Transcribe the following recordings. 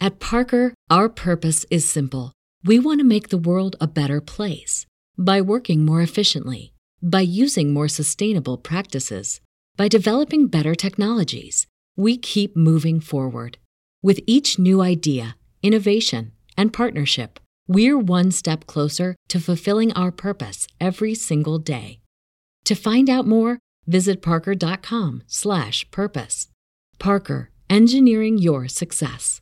At Parker, our purpose is simple. We want to make the world a better place by working more efficiently, by using more sustainable practices, by developing better technologies. We keep moving forward. With each new idea, innovation, and partnership, we're one step closer to fulfilling our purpose every single day. To find out more, visit parker.com slash purpose. Parker, engineering your success.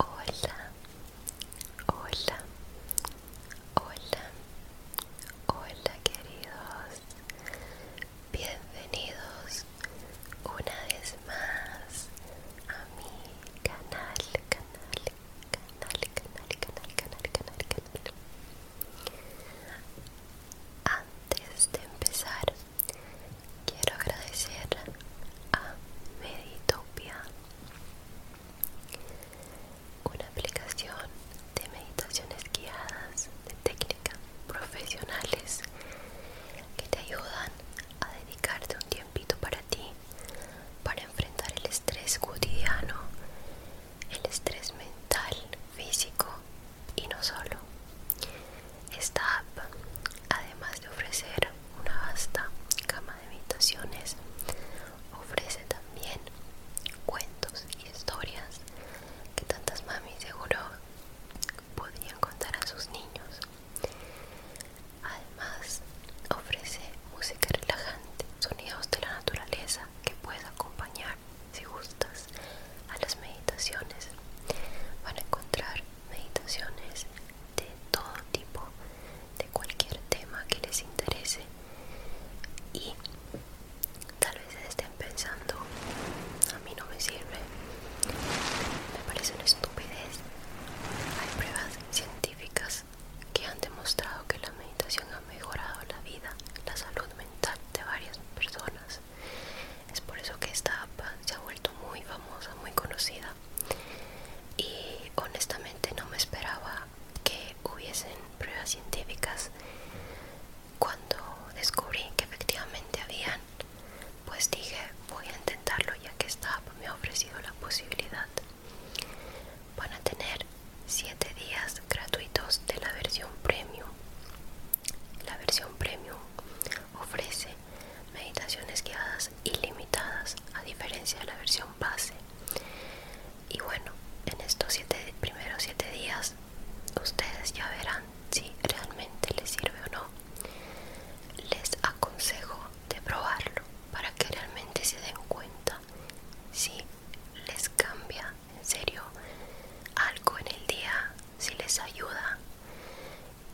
Hola, hola, hola, hola queridos. Bienvenidos una vez más a mi canal, canal Antes de empezar, quiero agradecer a Meditopia, una aplicación de meditaciones guiadas de técnicas profesionales que te ayudan a dedicarte un tiempito para para enfrentar el estrés cotidiano, el estrés mental, físico y no solo. Esta app, además de ofrecer una vasta cama de meditaciones, ofrece también cuentos y historias que tantas mamis seguro podrían contar a sus niños. Además, ofrece música relajante, sonidos de la naturaleza que puedes acompañar, si gustas, a las meditaciones. Van a encontrar meditaciones de todo tipo, de cualquier tema que les interese y tal vez estén pensando, a mí no me sirve, me parece una estupidez. Hay pruebas científicas que han demostrado que la meditación ha mejorado la vida, la salud mental de varias personas. Es por eso que esta app se ha vuelto muy famosa, muy conocida. Y honestamente no me esperaba que hubiesen pruebas científicas cuando descubrí que efectivamente habían, pues dije voy a intentarlo ya que esta app me ha ofrecido la posibilidad. Van a tener 7 días gratuitos de la versión premium. La versión premium ofrece meditaciones guiadas ilimitadas a diferencia de la versión base. Y bueno, en estos primeros 7 días ustedes ya verán si realmente les sirve o no. Les aconsejo de probarlo para que realmente se den cuenta si les cambia en serio algo en el día, si les ayuda,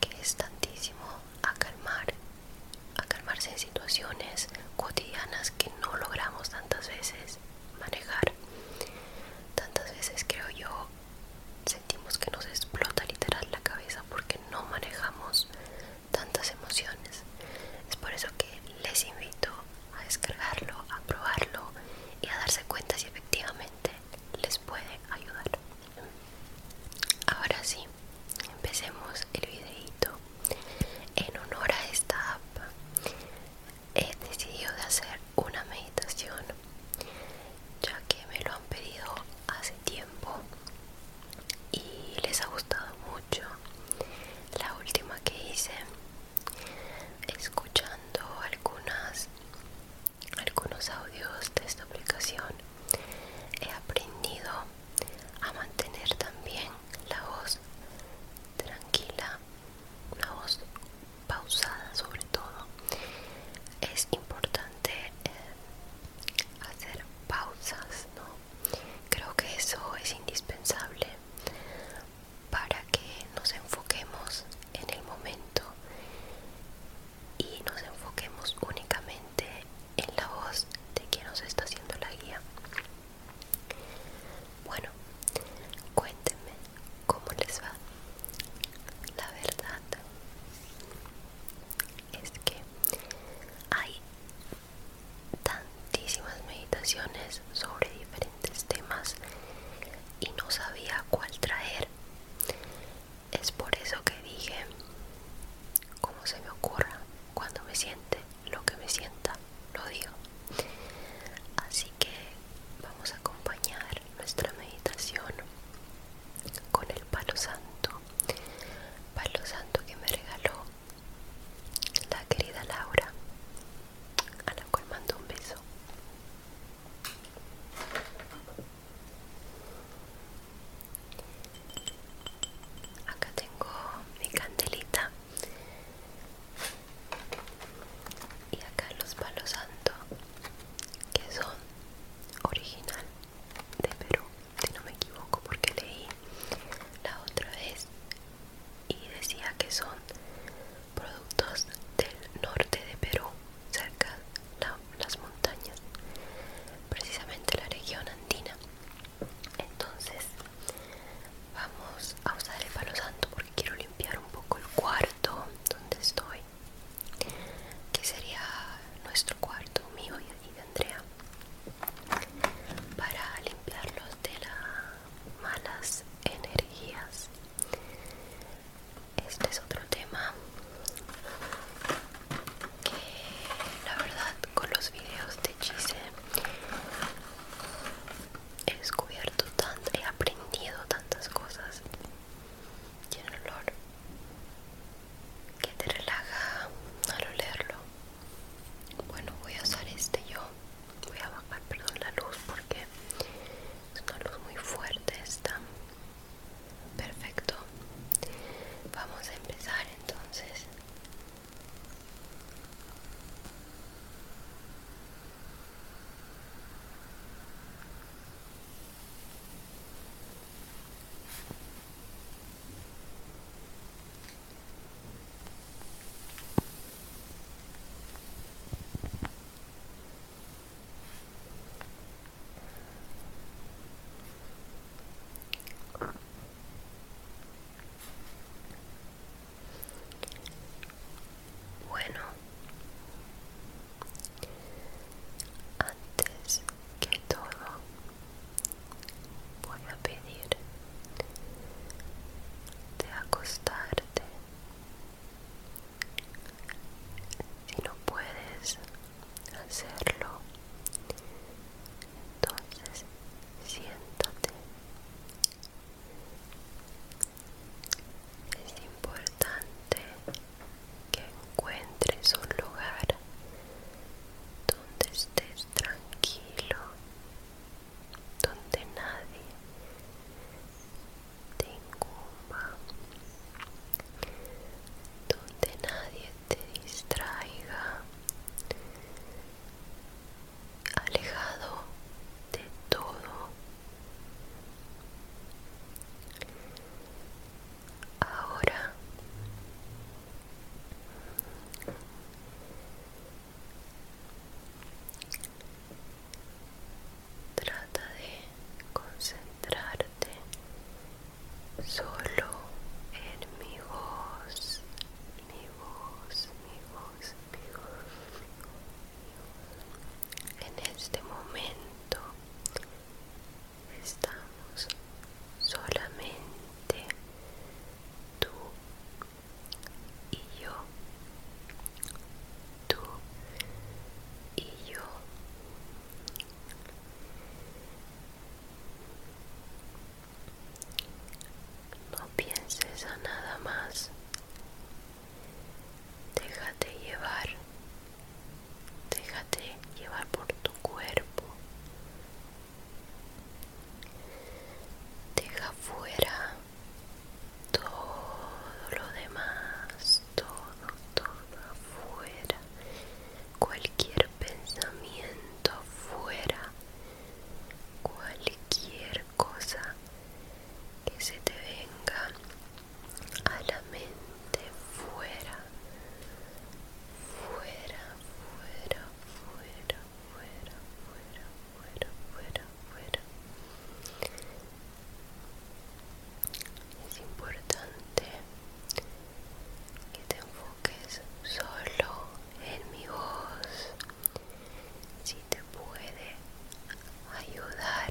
que es tantísimo a calmar, a calmarse en situaciones cotidianas que no logramos tantas veces manejar. Tantas veces creo yo sentimos que nos explota literal la cabeza porque no manejamos tantas emociones. Es por eso que les invito a descargarlo, a probarlo y a darse cuenta si efectivamente les puede ayudar. Ahora sí, empecemos el videito. En honor a esta app, he decidido de hacer una meditación ya que me lo han pedido hace tiempo y les ha gustado mucho la última que hice escuchando algunas algunos audios de esta aplicación he aprendido a mantener también la voz tranquila una voz pausada sobre todo es importante eh, hacer pausas ¿no? Creo que eso es indispensable para que nos enfoquemos en el momento y nos enfoquemos únicamente en la voz de quien nos está haciendo la guía. Bueno, cuéntenme cómo les va. La verdad es que hay tantísimas meditaciones sobre diferentes temas y no sabía cuál traer. Es por eso que dije, como se me ocurra, cuando me siente, lo que me sienta, lo digo. Así que vamos a acompañar nuestra meditación con el palo santo. Palo santo que me regaló la querida Laura, a la cual mando un beso. Acá tengo mi candelita y acá los palos santo que son originales de Perú, si no me equivoco, porque leí la otra vez y decía que son productos del norte de Perú, cerca las montañas, precisamente la región andina. Entonces, vamos a usar el palo santo porque quiero limpiar un poco el cuarto donde estoy, que sería nuestro cuarto mío y de Andrea para limpiarlos de las malas energías este es otro tema que la verdad con los videos de Gise he descubierto tanto, he aprendido tantas cosas. Tiene olor que te relaja al olerlo. Bueno, voy a usar este yo. Voy a bajar, perdón, la luz porque es una luz muy fuerte esta. Perfecto. Vamos a empezar entonces. Bueno, antes que todo voy a pedir de acostarte si no puedes hacerlo entonces siéntate es importante que encuentres un lugar donde estés tranquilo, donde nadie te incumba, donde nadie te distraiga, alejado de todo. Ahora Trata de concentrarte solo en mi voz, mi voz, mi voz, mi voz. En este momento estamos solamente tú y yo, tú y yo. No pienses a nada más. Déjate llevar. Déjate llevar por tu cuerpo, Deja fuera todo lo demás, todo, todo afuera. Cualquier pensamiento fuera, Cualquier cosa que se te venga a la mente fuera, fuera, fuera, fuera, fuera, fuera, fuera, fuera, fuera. Es importante que te enfoques solo en mi voz. Si te puede ayudar,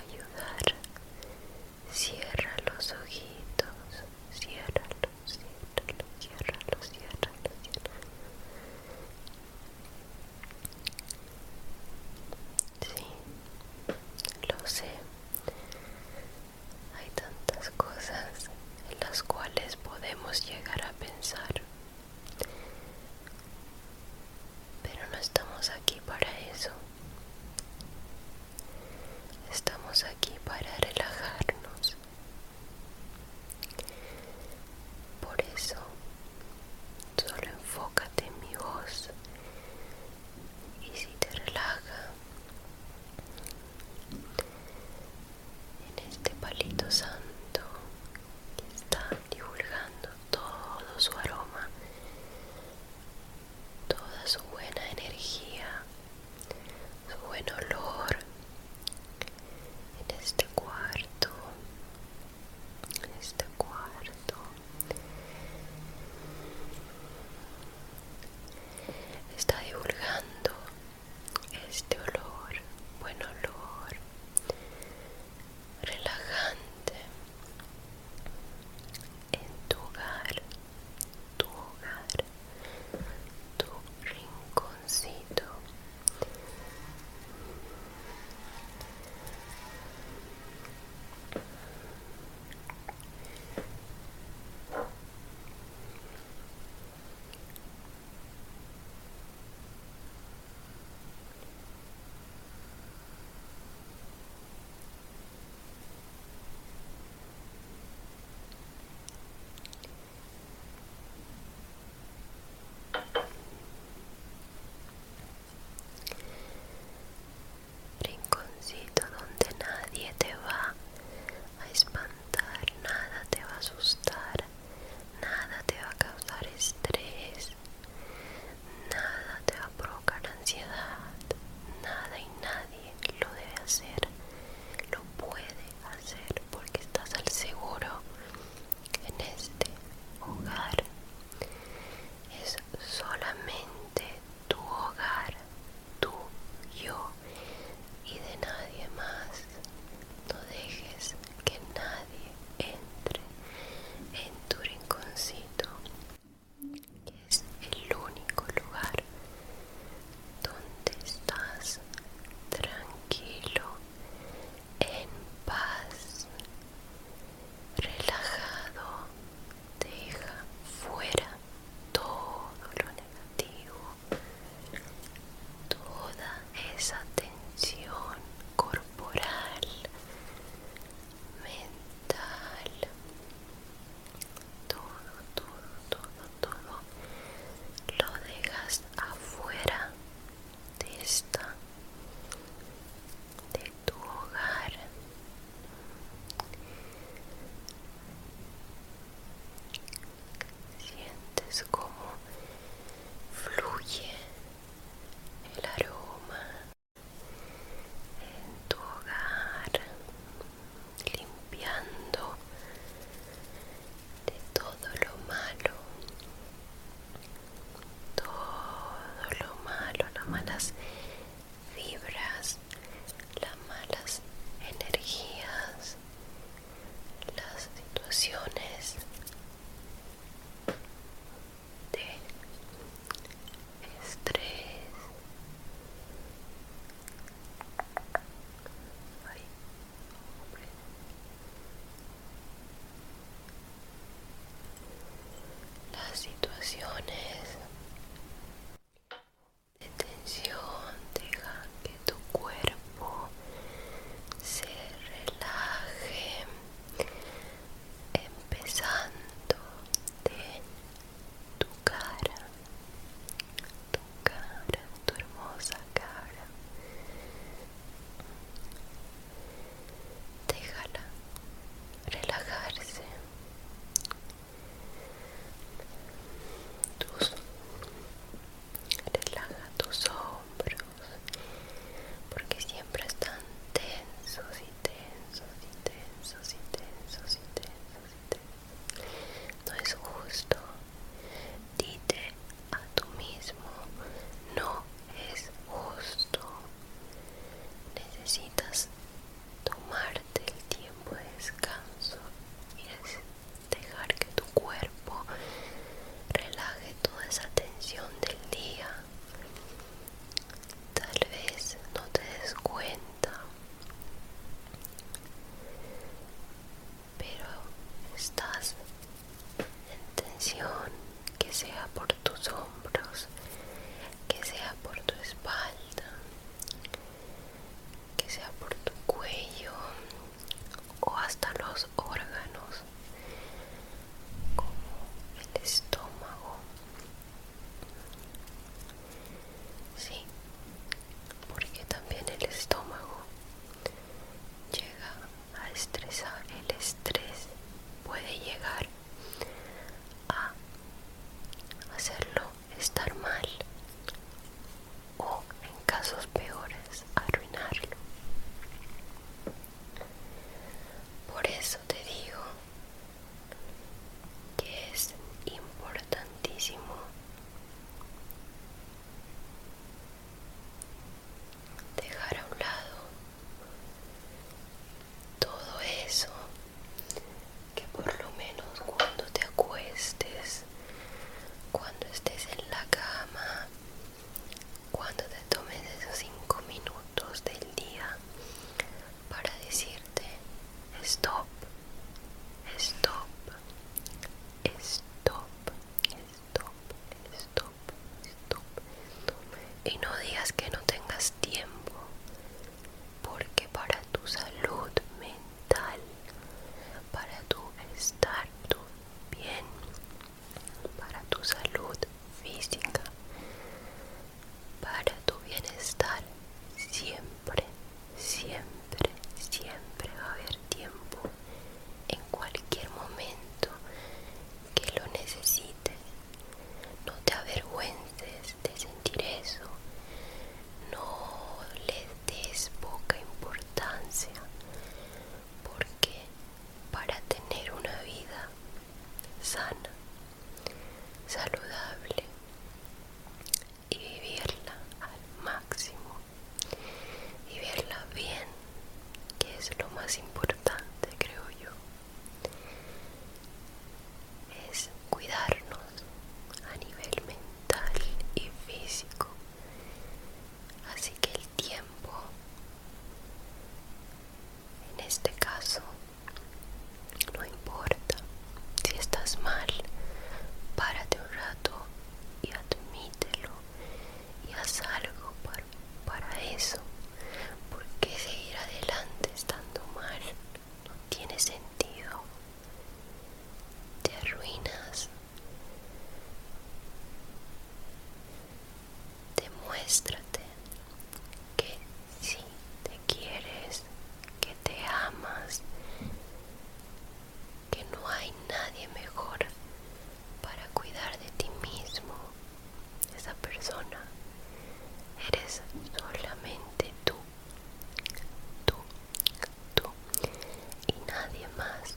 ayudar Cierra los ojitos, los, ciérralo, los, cierra los. Sí, lo sé. Hay tantas cosas en las cuales podemos llegar a pensar. Pero no estamos aquí para eso. Estamos aquí para relajarnos. Por eso, solo enfócate en mi voz y si te relaja en este palito santo que está divulgando todo su aroma toda su buena energía, su buen olor en este cuarto, en este cuarto. Está divulgando este olor, buen olor, relajante en tu hogar tu hogar, tu rinconcito. Rinconcito donde nadie te va a espantar, nada te va a asustar, nada te va a causar estrés, nada te va a provocar ansiedad, nada y nadie lo debe hacer, lo puede hacer porque estás al seguro en este hogar. Es solamente tu hogar, tú, yo y de nadie más. No dejes que nadie entre en tu rinconcito es el único lugar donde estás tranquilo, en paz, relajado, deja fuera todo lo negativo, toda esa tensión corporal, mental, todo, todo, todo, todo lo dejas afuera de esta, de tu hogar. Sientes como fluye el aroma en tu hogar limpiando de todo lo malo, todo lo malo, las malas fibras, las malas energías, las situaciones de estrés las situaciones de tensión dejan que tu cuerpo se relaje empezando de tu cara, tu cara, tu hermosa cara. Déjala relajarse. Tus, relaja tus hombros porque siempre están tensos y tensos y tensos y tensos y tensos. No es justo. Dite a tu mismo, no es justo. Necesitas tomarte el tiempo de descanso y dejar que tu cuerpo relaje toda esa tensión del día. Tal vez no te des cuenta, pero estás en tensión, que sea por tus hombros, que sea por tu espalda, que sea por tu cuello o hasta los órganos como el estómago Sí, porque también el estómago llega a estresar, el estrés puede llegar a hacerlo estar mal o en casos peores arruinarlo. Por eso te digo que es importantísimo dejar a un lado todo eso que por lo menos cuando te acuestes cuando estés en la cama cuando te tomes esos cinco minutos del día para decirte stop, stop, stop, stop, stop, stop, Y no digas que no tengas tiempo, porque para tu salud mental, para tu estar bien, para tu salud física, para tu bienestar siempre siempre, siempre, siempre va a haber tiempo en cualquier momento que lo necesites. No te avergüences de sentir eso. No le des poca importancia. Porque para tener una vida sana, saludable, y vivirla al máximo y bien que es lo más importante creo yo es cuidarnos a nivel mental y físico así que el tiempo en este caso no importa si estás mal, párate un rato y admítelo y haz algo para, eso. Porque seguir adelante estando mal no tiene sentido. Te arruinas. Demuéstrate que si te quieres, que te amas, que no hay nadie mejor para cuidar de ti mismo, esa persona. Eres solamente tú, tú, tú y nadie más.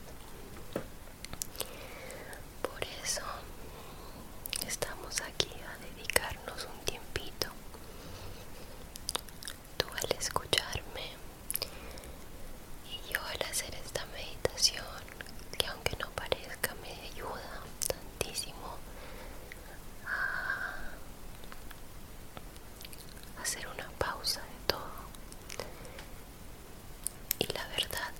Por eso estamos aquí a dedicarnos un tiempito tú al escucharme y yo al hacer esta meditación que aunque no parezca me ayuda tantísimo a hacer una pausa de todo y la verdad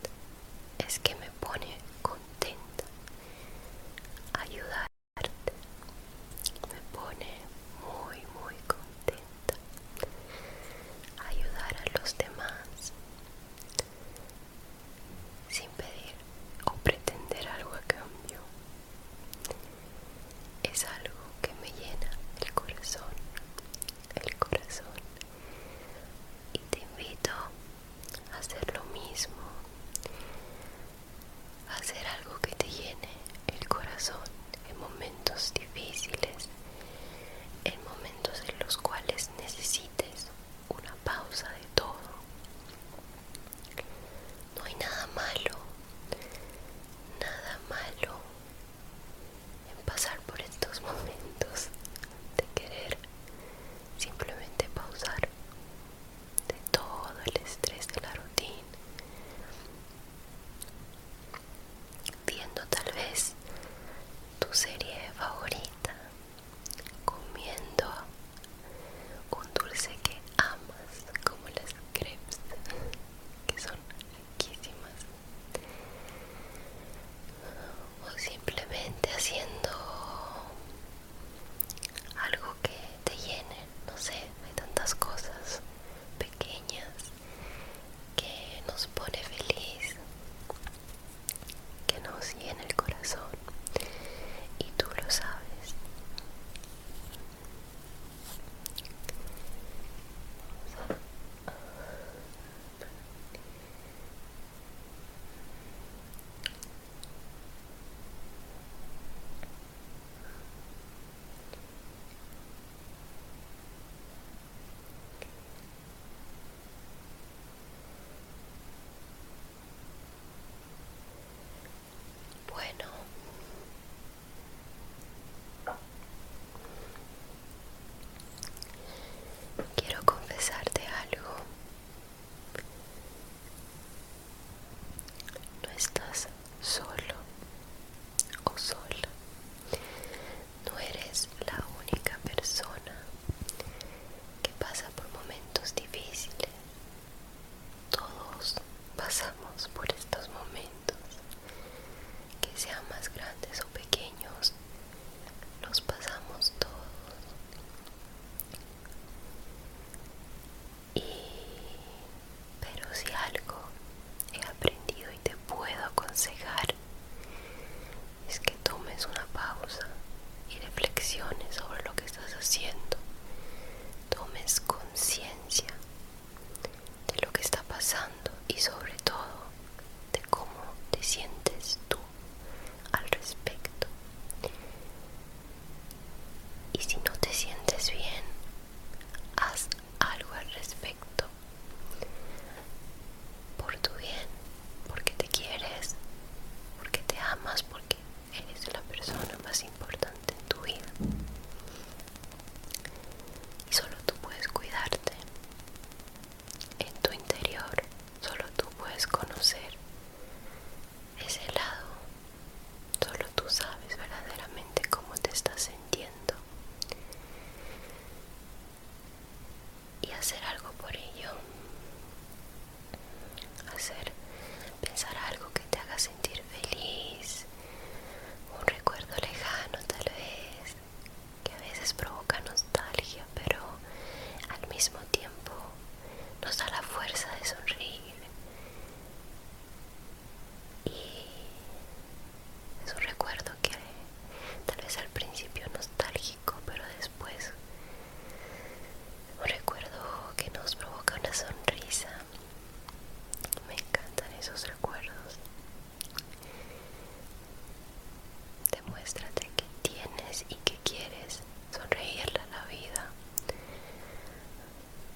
es que me pone contenta ayudar me pone muy muy contenta ayudar a los demás sin pedir o pretender algo a cambio es algo que me llena el corazón el corazón y te invito a hacer lo mismo hacer algo que te llene el corazón en momentos difíciles, en momentos en los cuales necesites una pausa de todo. No hay nada malo, nada malo en pasar por estos momentos de querer simplemente pausar de todo el estrés de la rutina, viendo tal vez tu serie favorita, comiendo un dulce que amas, como las crepes, que son riquísimas, o simplemente haciendo algo que te llene, no sé, hay tantas cosas pequeñas que nos pone feliz, que nos llena el corazón y tú lo sabes. Bueno, quiero confesarte algo no estás solo o sola. No eres la única persona que pasa por momentos difíciles. Todos pasamos por estos momentos, que sean más grandes o pequeños, los pasamos todos. Y, pero si algo he aprendido y te puedo aconsejar es que tomes una pausa y reflexiones sobre lo que estás haciendo. Tomes conciencia de lo que está pasando y sobre todo de cómo te sientes tú al respecto. Y si no te sientes bien, haz algo al respecto. Por tu bien, porque te quieres, porque te amas, porque eres la persona más importante en tu vida. Y solo tú puedes cuidarte. En tu interior, solo tú puedes conocer ese lado. Solo tú sabes verdaderamente cómo te estás sintiendo. Y hacer algo por ello. Hacer, pensar algo que te haga sentir feliz. Un recuerdo lejano tal vez, que a veces provoca nostalgia, pero al mismo tiempo nos da la fuerza de sonreír. Y es un recuerdo que tal vez al principio nostálgico, pero después un recuerdo que nos provoca una sonrisa. Me encantan esos recuerdos. Demuéstrate que tienes y que quieres sonreírle a la vida,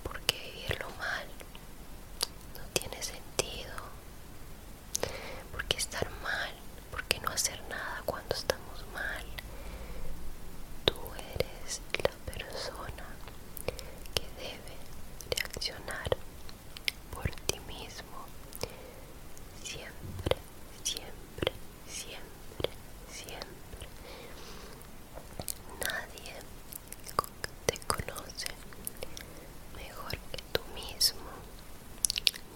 porque vivirlo mal no tiene sentido, porque estar mal, porque no hacer nada cuando estamos mal. Tú eres la persona que debe reaccionar por ti mismo siempre, siempre, siempre, siempre. Nadie te conoce mejor que tú mismo.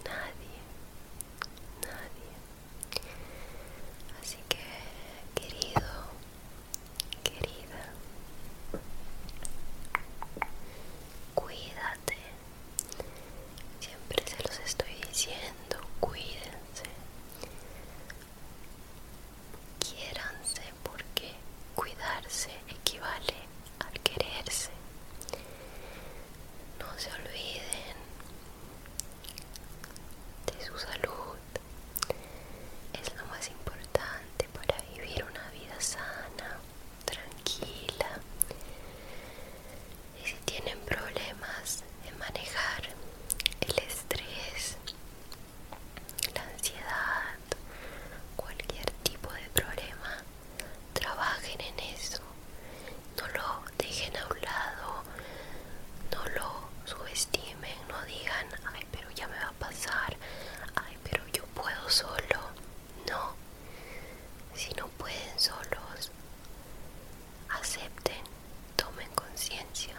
Nadie, nadie. Así que, querido, querida, cuídate. Siempre se los estoy diciendo, cuídense. Quiéranse porque cuidarse equivale al quererse. No se olviden de su salud. Es lo más importante para vivir una vida sana, tranquila. Y si tienen problemas en manejar el estrés, la ansiedad, cualquier tipo de problema, trabajen en eso, no lo dejen a un lado, no lo subestimen, no digan, ay, pero ya me va a pasar, ay, pero yo puedo solo, no, si no pueden solos, acepten, tomen conciencia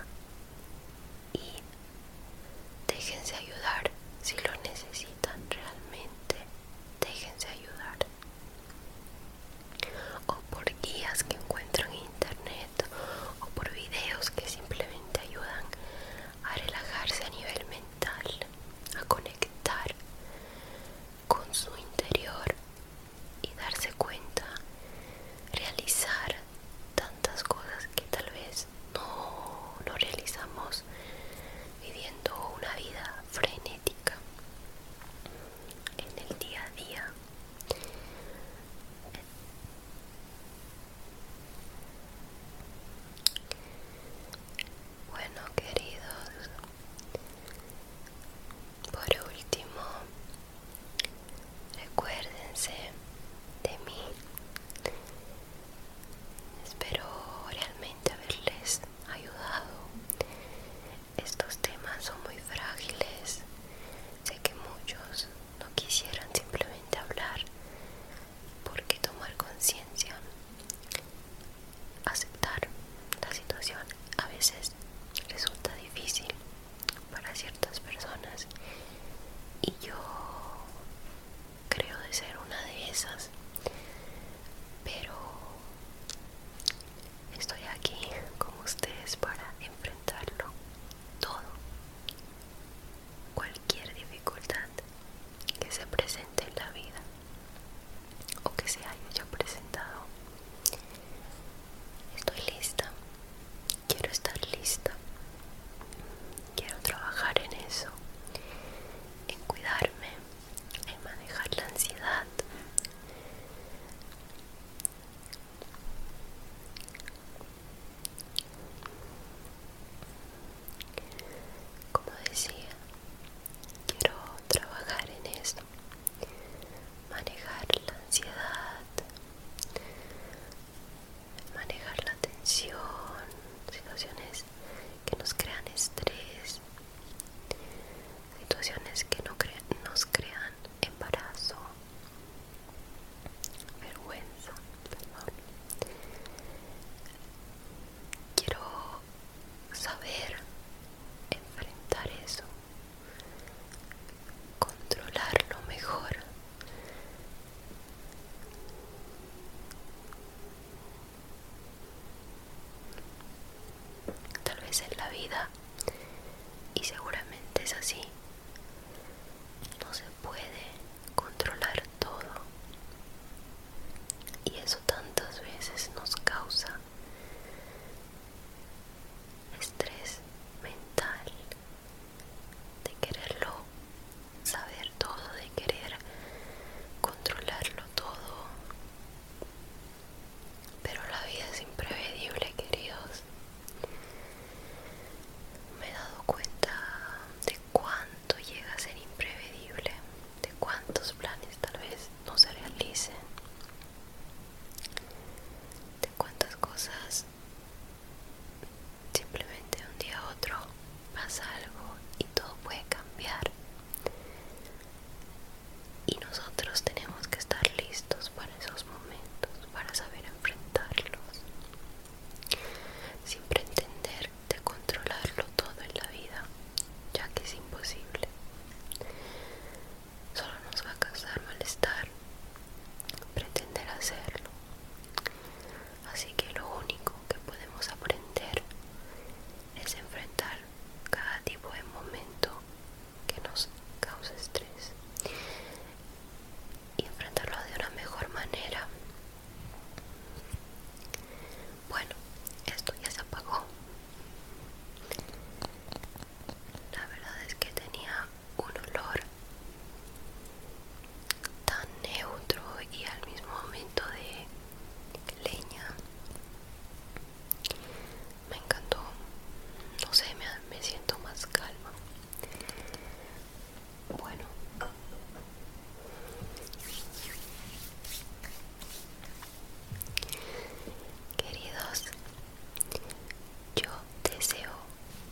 y déjense ayudar si lo necesitan realmente, déjense ayudar. O por guías que encuentran en internet o por videos que simplemente ayudan a relajarse a nivel mental, a conectar con su interior y darse cuenta, realizar tantas cosas que tal vez no, lo realizamos viviendo una vida frenética en el día a día. Bueno, queridos, por último, Recuérdense de mí. Espero realmente haberles ayudado. Estos temas son muy frágiles. Sé que muchos no quisieran simplemente hablar porque tomar conciencia, aceptar la situación a veces resulta difícil para ciertas personas y yo creo de ser una de esas pero estoy aquí con ustedes para enfrentarlo todo cualquier dificultad que se presente en la vida o que se haya presentado Estoy lista. Quiero estar lista. Quiero trabajar en eso. En cuidarme. En manejar la ansiedad. Como decía, quiero trabajar en esto manejar la ansiedad, manejar la tensión, situaciones que nos crean estrés, situaciones que nos crean embarazo, vergüenza, Quiero saber enfrentar eso controlarlo mejor. Tal vez en la vida, y seguramente es así, no se puede controlar todo. Y eso tantas veces nos causa estrés mental de quererlo saber todo, de querer controlarlo todo. Pero la vida es imprevedible, queridos. Me he dado cuenta de cuánto llega a ser imprevedible, de cuántos planes tal vez no se realicen de cuántas cosas simplemente de un día a otro pasa algo y todo puede cambiar y nosotros tenemos que estar listos para esos momentos para saber enfrentarlos sin entender de controlarlo todo en la vida ya que es imposible solo nos va a causar malestar pretender hacerlo. Así que lo único que podemos aprender es enfrentar cada tipo de momento que nos causa estrés y enfrentarlo de una mejor manera. Bueno, esto ya se apagó la verdad es que tenía un olor tan neutro y al mismo momento de leña me encantó no sé me, siento más calma bueno Queridos, yo deseo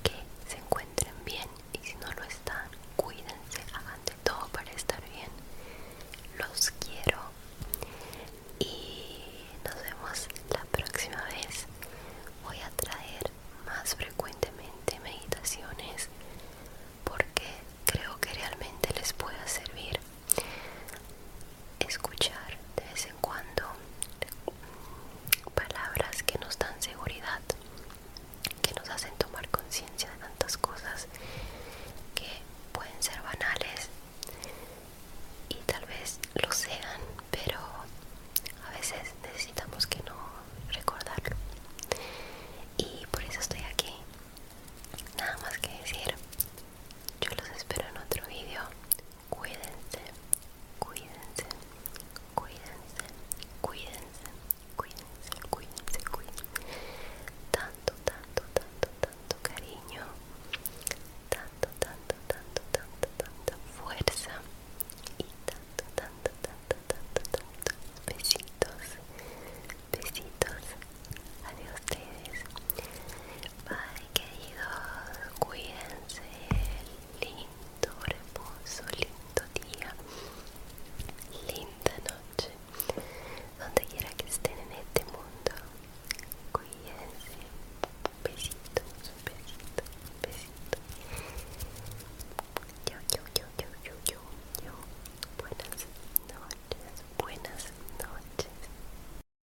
que se encuentren bien y si no lo están, cuídense, hagan de todo para estar bien. Los quiero y nos vemos la próxima vez. Voy a traer más frecuentemente meditaciones porque creo que realmente les pueda servir escuchar de vez en cuando palabras que nos dan seguridad, que nos hacen tomar conciencia de tantas cosas que pueden ser banales y tal vez lo sean, pero a veces necesitamos que no recordarlo. Y por eso estoy aquí. Nada más que decir, yo los espero en otro vídeo cuídense, cuídense, cuídense, cuídense, cuídense, cuídense, cuídense. Tanto, tanto, tanto, tanto cariño, tanto, tanto, tanto, tanto, fuerza y tanto, tanto, tanto, tanto, tanto besitos, besitos. Adiós ustedes. para que Cuídense, lindo reposo, lindo día, linda noche, donde quiera que estén en este mundo. Cuídense, besitos, besitos, besitos. Yo, yo, yo, yo, yo, yo, yo. Buenas noches, buenas noches.